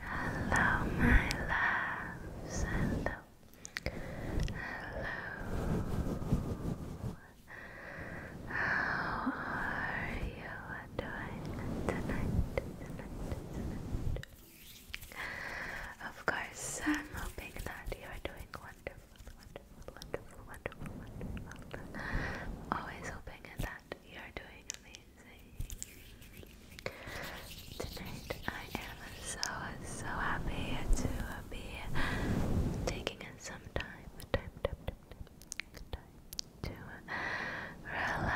Hello, my loves. Hello. Uh, hello. How are you doing tonight? Of course, I'm hoping that you are doing wonderful, wonderful, wonderful, wonderful, wonderful. always hoping that you are doing Tonight I am so so happy to be taking some time, time, time, time, time to relax,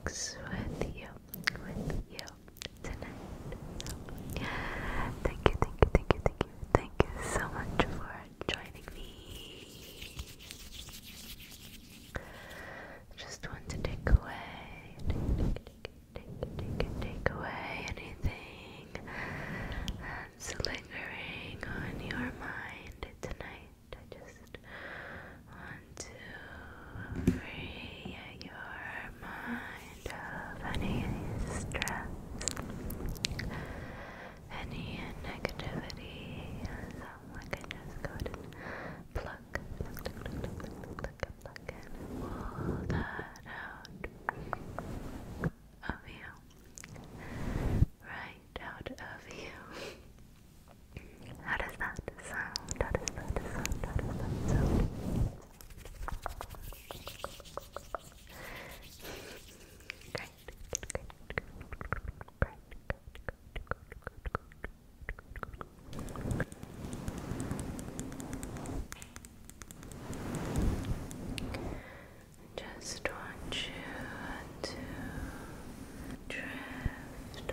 relax with you, with you tonight. Thank you, thank you, thank you, thank you. Thank you so much for joining me. Just want to take away, take, take, take, take, take, away anything that's lingering on your mind tonight. I just want to free your mind of any stress, any negativity, so I can just go ahead and pluck, pluck, pluck, pluck, pluck, pluck, pluck, and pull that out of you, right out of you. How does that sound? How does that sound? How does that sound? Great, Just want you to drift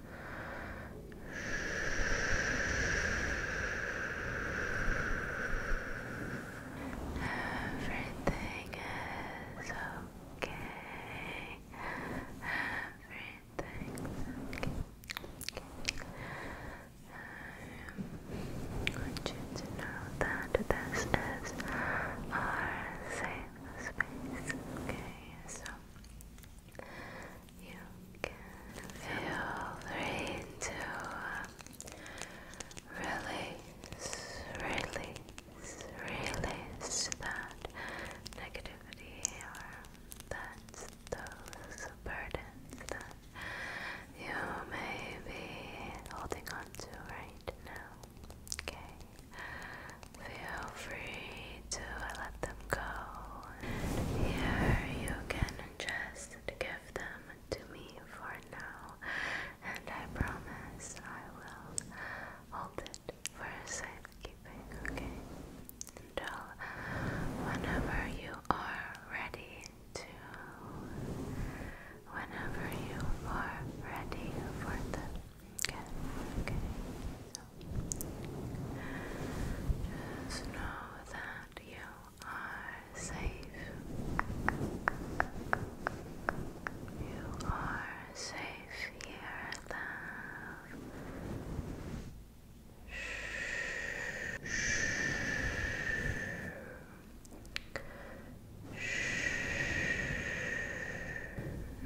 Everything is okay. Everything's okay. I want you to know that this is our safe space. Okay, you can feel free to release, release, release that negativity or that those burdens that you may be holding on to right now. Okay. Feel free to let them go. Here you can just give them to me for now, and I promise I will hold it for safekeeping, okay? Until whenever you are ready to. Whenever you are ready for them. Okay, okay. Just know that you are safe. You are safe here, love. Shh. Shh.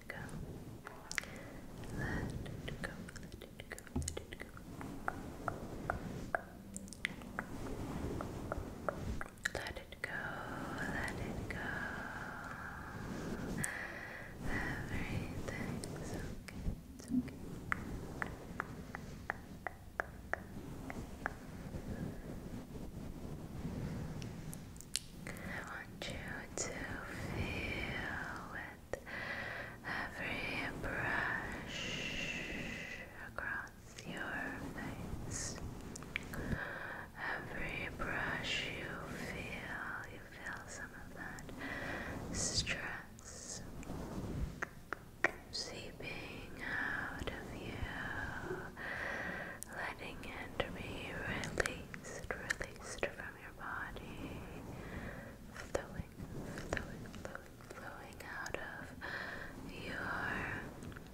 it go. Let it go. Let it go. Let it go. Let it go. Let it go. Everything's okay. It's okay. I want you to feel with every brush across your face. Every brush you feel, you feel some of that stress seeping out of you, letting it be released, released from from your body, flowing, flowing, flowing out of your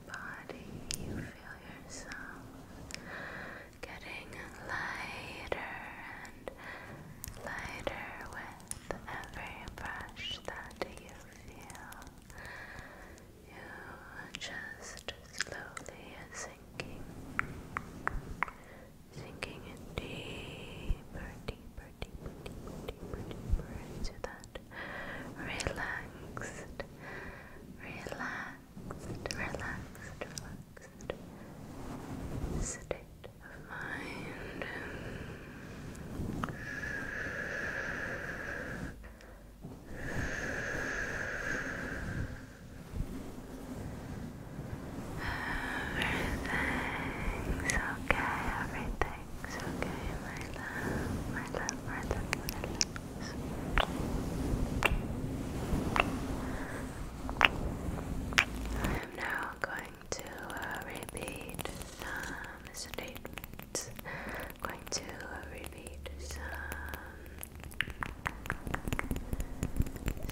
body. You feel yourself getting lighter and lighter with every brush that you feel. You just slowly sinking Sinking in deeper, deeper, deeper, deeper, deeper, into that Relax, relax, relax, relax, relax, relax, relax, Everything's okay, everything's okay, my love, my love, my love, my love. I'm now going to uh, repeat some statements. going to uh, repeat some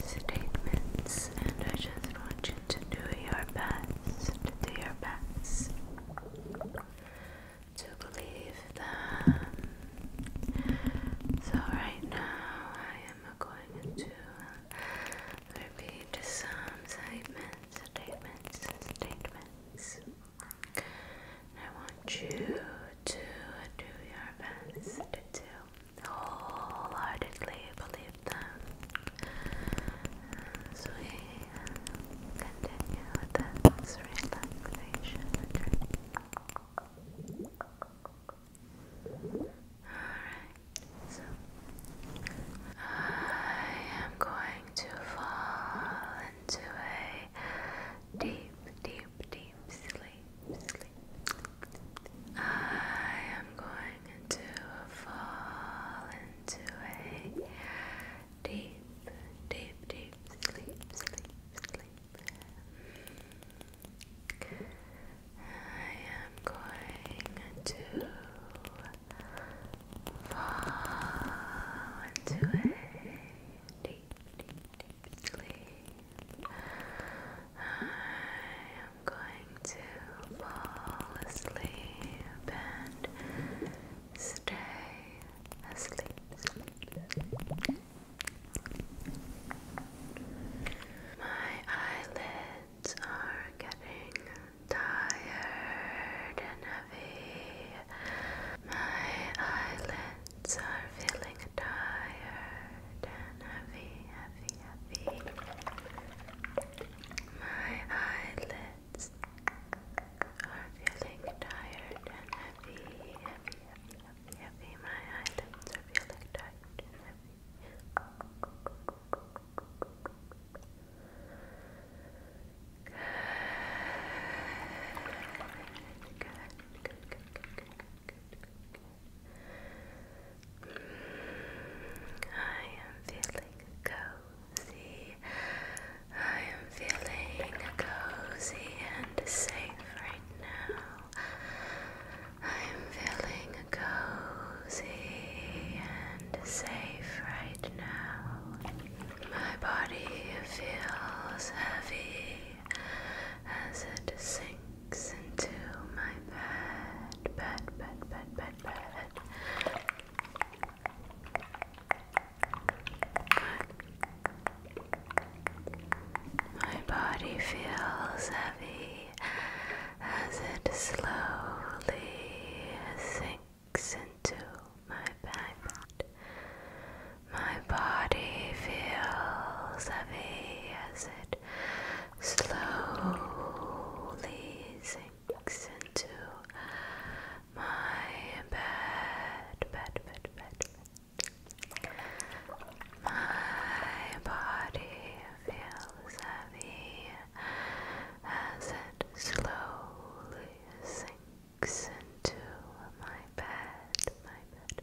statements, and I just want you to do your best, do your best to believe them. So, right now, I am going to repeat some statements, statements, statements. I want you to do your best to wholeheartedly believe them. As we continue with this relaxation Alright, so I am going to fall into a deep, deep, deep sleep. I am going to fall into a deep, deep, deep sleep, sleep, sleep. I am going to fall into a deep, deep, deep, I am going to fall asleep and stay asleep. My eyelids are getting tired and heavy. My eyelids are feeling tired and heavy, heavy, heavy. My eyelids are feeling tired and heavy, heavy, heavy, heavy, heavy. My eyelids are feeling tired heavy. good, good, good, good, good, I am feeling cozy. I am feeling cozy and safe right now. I am feeling cozy and safe right now. My body feels heavy as it sinks legs into my bed, bed, bed, bed, bed, bed. My body feels heavy as it slowly sinks into my bed. My body feels heavy as it slowly sinks into my bed, bed, bed, bed, My body feels heavy as it slowly sinks into my bed, my bed.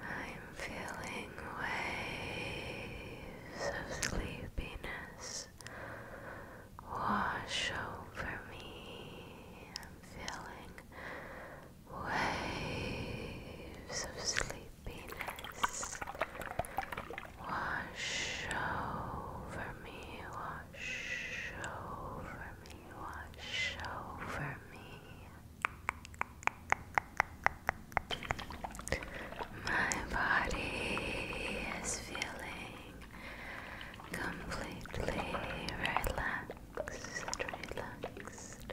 I'm feeling waves of sleepiness wash over me. I'm feeling waves of sleepiness wash over me, wash over me, wash over me. My body is feeling completely relaxed, relaxed.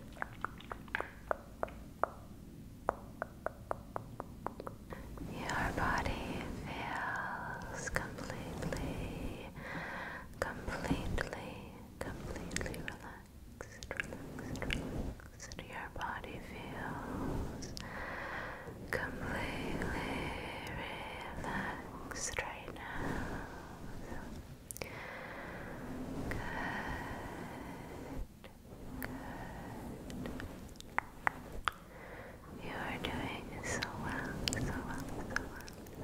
Your body feels completely, completely, completely relaxed. Your body feels completely relaxed right now. Good, good. You are doing so well, so well, so well.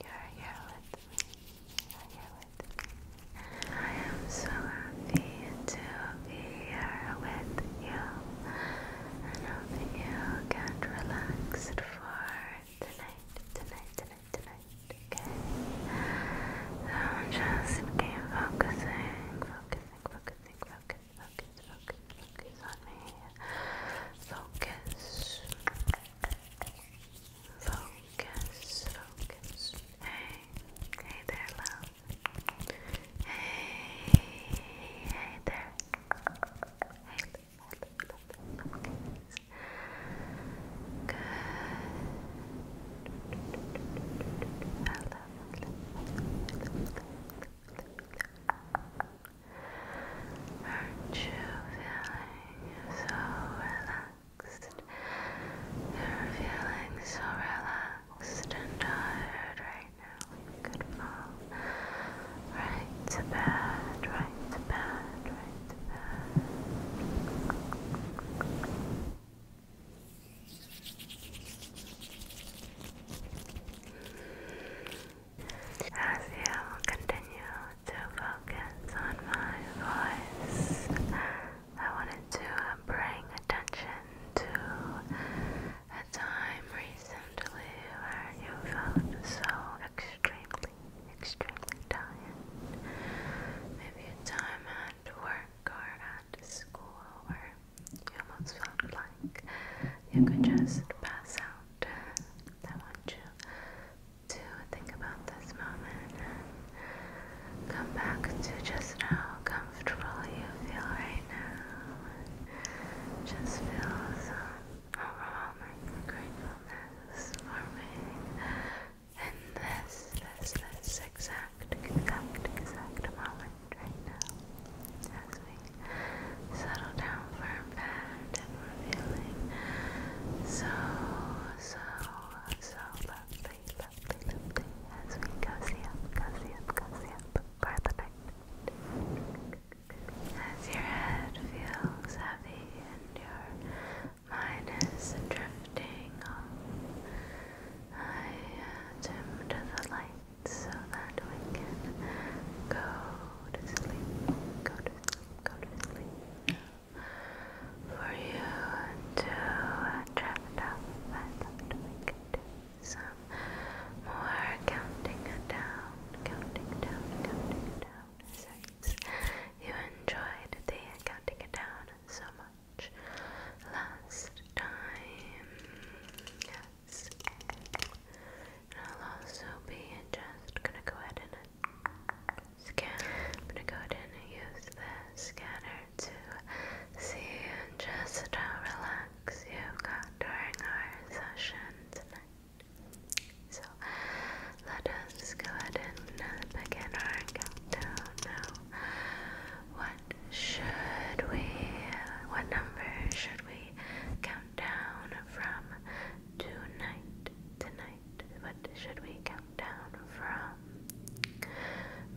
You're here with me. You're here with me. I am so happy to be here with you. And hope that you get relaxed for tonight, tonight, tonight, tonight. Okay? So just keep focusing, focusing, focusing, focus, focus, focus, Focus Focus. Focus. Hey. Hey there, love. Hey. Hey there. Hey. Focus. Good. Aren't you feeling so relaxed? You're feeling so relaxed and tired right now. You could fall right to bed, right to bed, right to bed as you continue to focus on my voice, I wanted to bring attention to a time recently where you felt so extremely, extremely tired. Maybe a time at work or at school where you almost felt like you could just pass out. I want you to think about this moment come back to just how comfortable you feel right now. just feel overwhelming gratefulness for me in this, this, this exact, exact moment right now as we settle down for a and we so, so, so lovely, lovely, lovely as we cozy up, cozy up, cozy up for the night. As your head feels heavy and your mind is drifting off, I uh, dim the light so that we can go to sleep, go For you to trap up, I'd love to do some more counting down, counting down, counting down. Since you enjoyed the counting down so much last time. Yes. I'll also be just gonna go ahead and scan. I'm gonna go ahead and use the scanner to see and just how relaxed you got during our session tonight. So let us go ahead and begin our countdown now. What should we, what number should we count down from tonight, tonight, what should we count down from?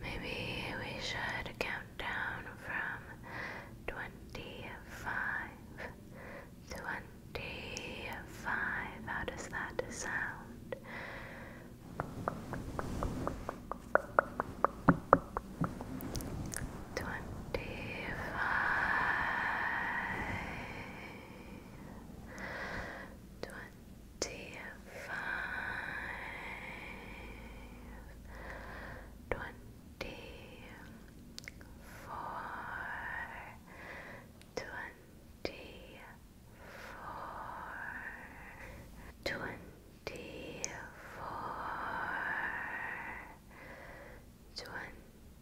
Maybe we should count down from twenty-five. Twenty-five. How does that sound? Twenty-five twenty-five, twenty-four, twenty-four, twenty-four. Twenty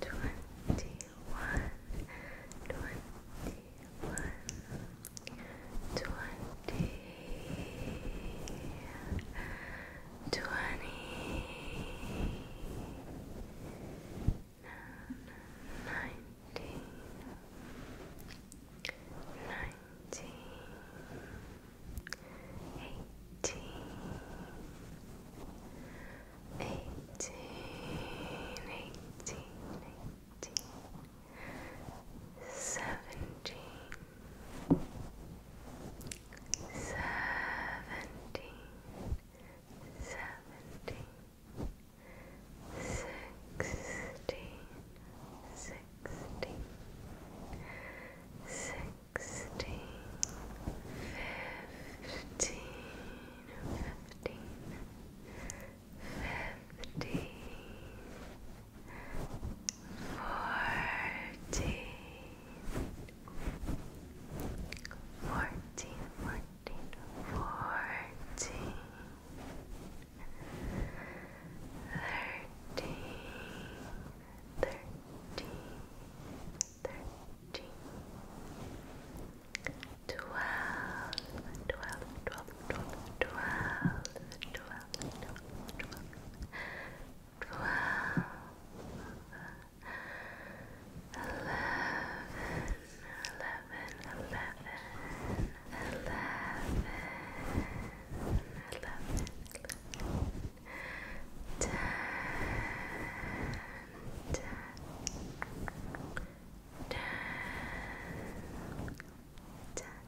twenty-one, twenty-one, twenty, twenty, nineteen, nineteen. 18 eighteen, eighteen, eighteen, eighteen, seventeen, seventeen, seventeen, sixteen, sixteen. Sixteen, sixteen, fifteen, fifteen, fifteen, fourteen, fourteen, fourteen, fourteen, thirteen, thirteen. 13 12 11 10 9 8 7 6 5 4 3 2 1 thirteen, twelve, twelve, twelve, twelve, twelve, twelve, twelve, twelve, twelve, eleven, eleven, eleven, eleven, eleven, eleven. 12 ten, ten, ten, ten,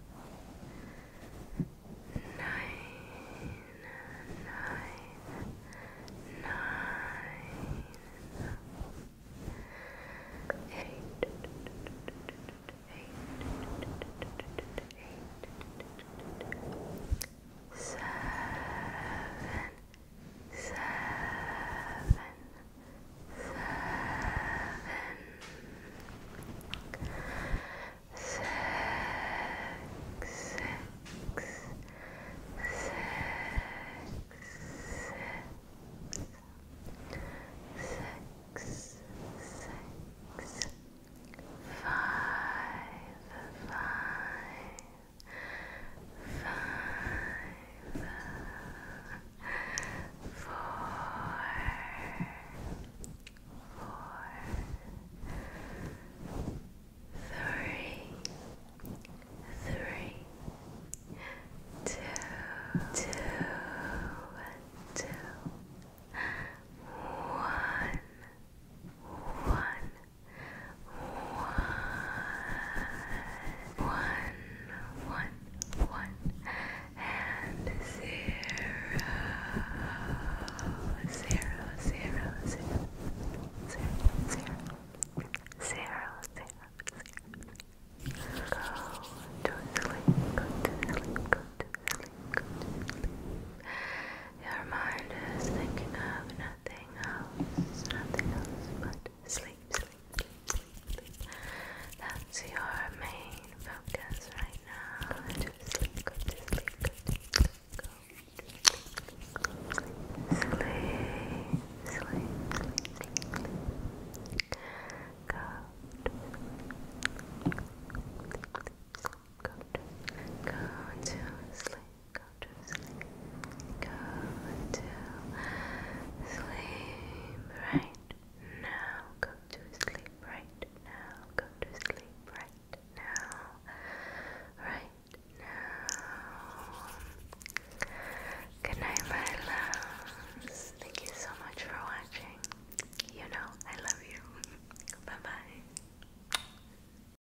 nine, nine, nine, eight, eight, eight, seven, seven, seven, six, six, five, four, four, three, three, two, two, two, one, one one, one, one, one, and zero, zero, zero, zero, zero, zero, zero, zero, zero. Go to sleep, go to sleep, go to sleep, Your mind is thinking of nothing else, nothing else but sleep, sleep, sleep, sleep, That's your main focus right now. Go sleep, go to sleep, go go to sleep, sleep, sleep, Go go to sleep, go to sleep. Go to sleep. Go to sleep right now. Go to sleep right now. Go to sleep right now. Right now. Good night, my loves. Thank you so much for watching. You know I love you. bye bye.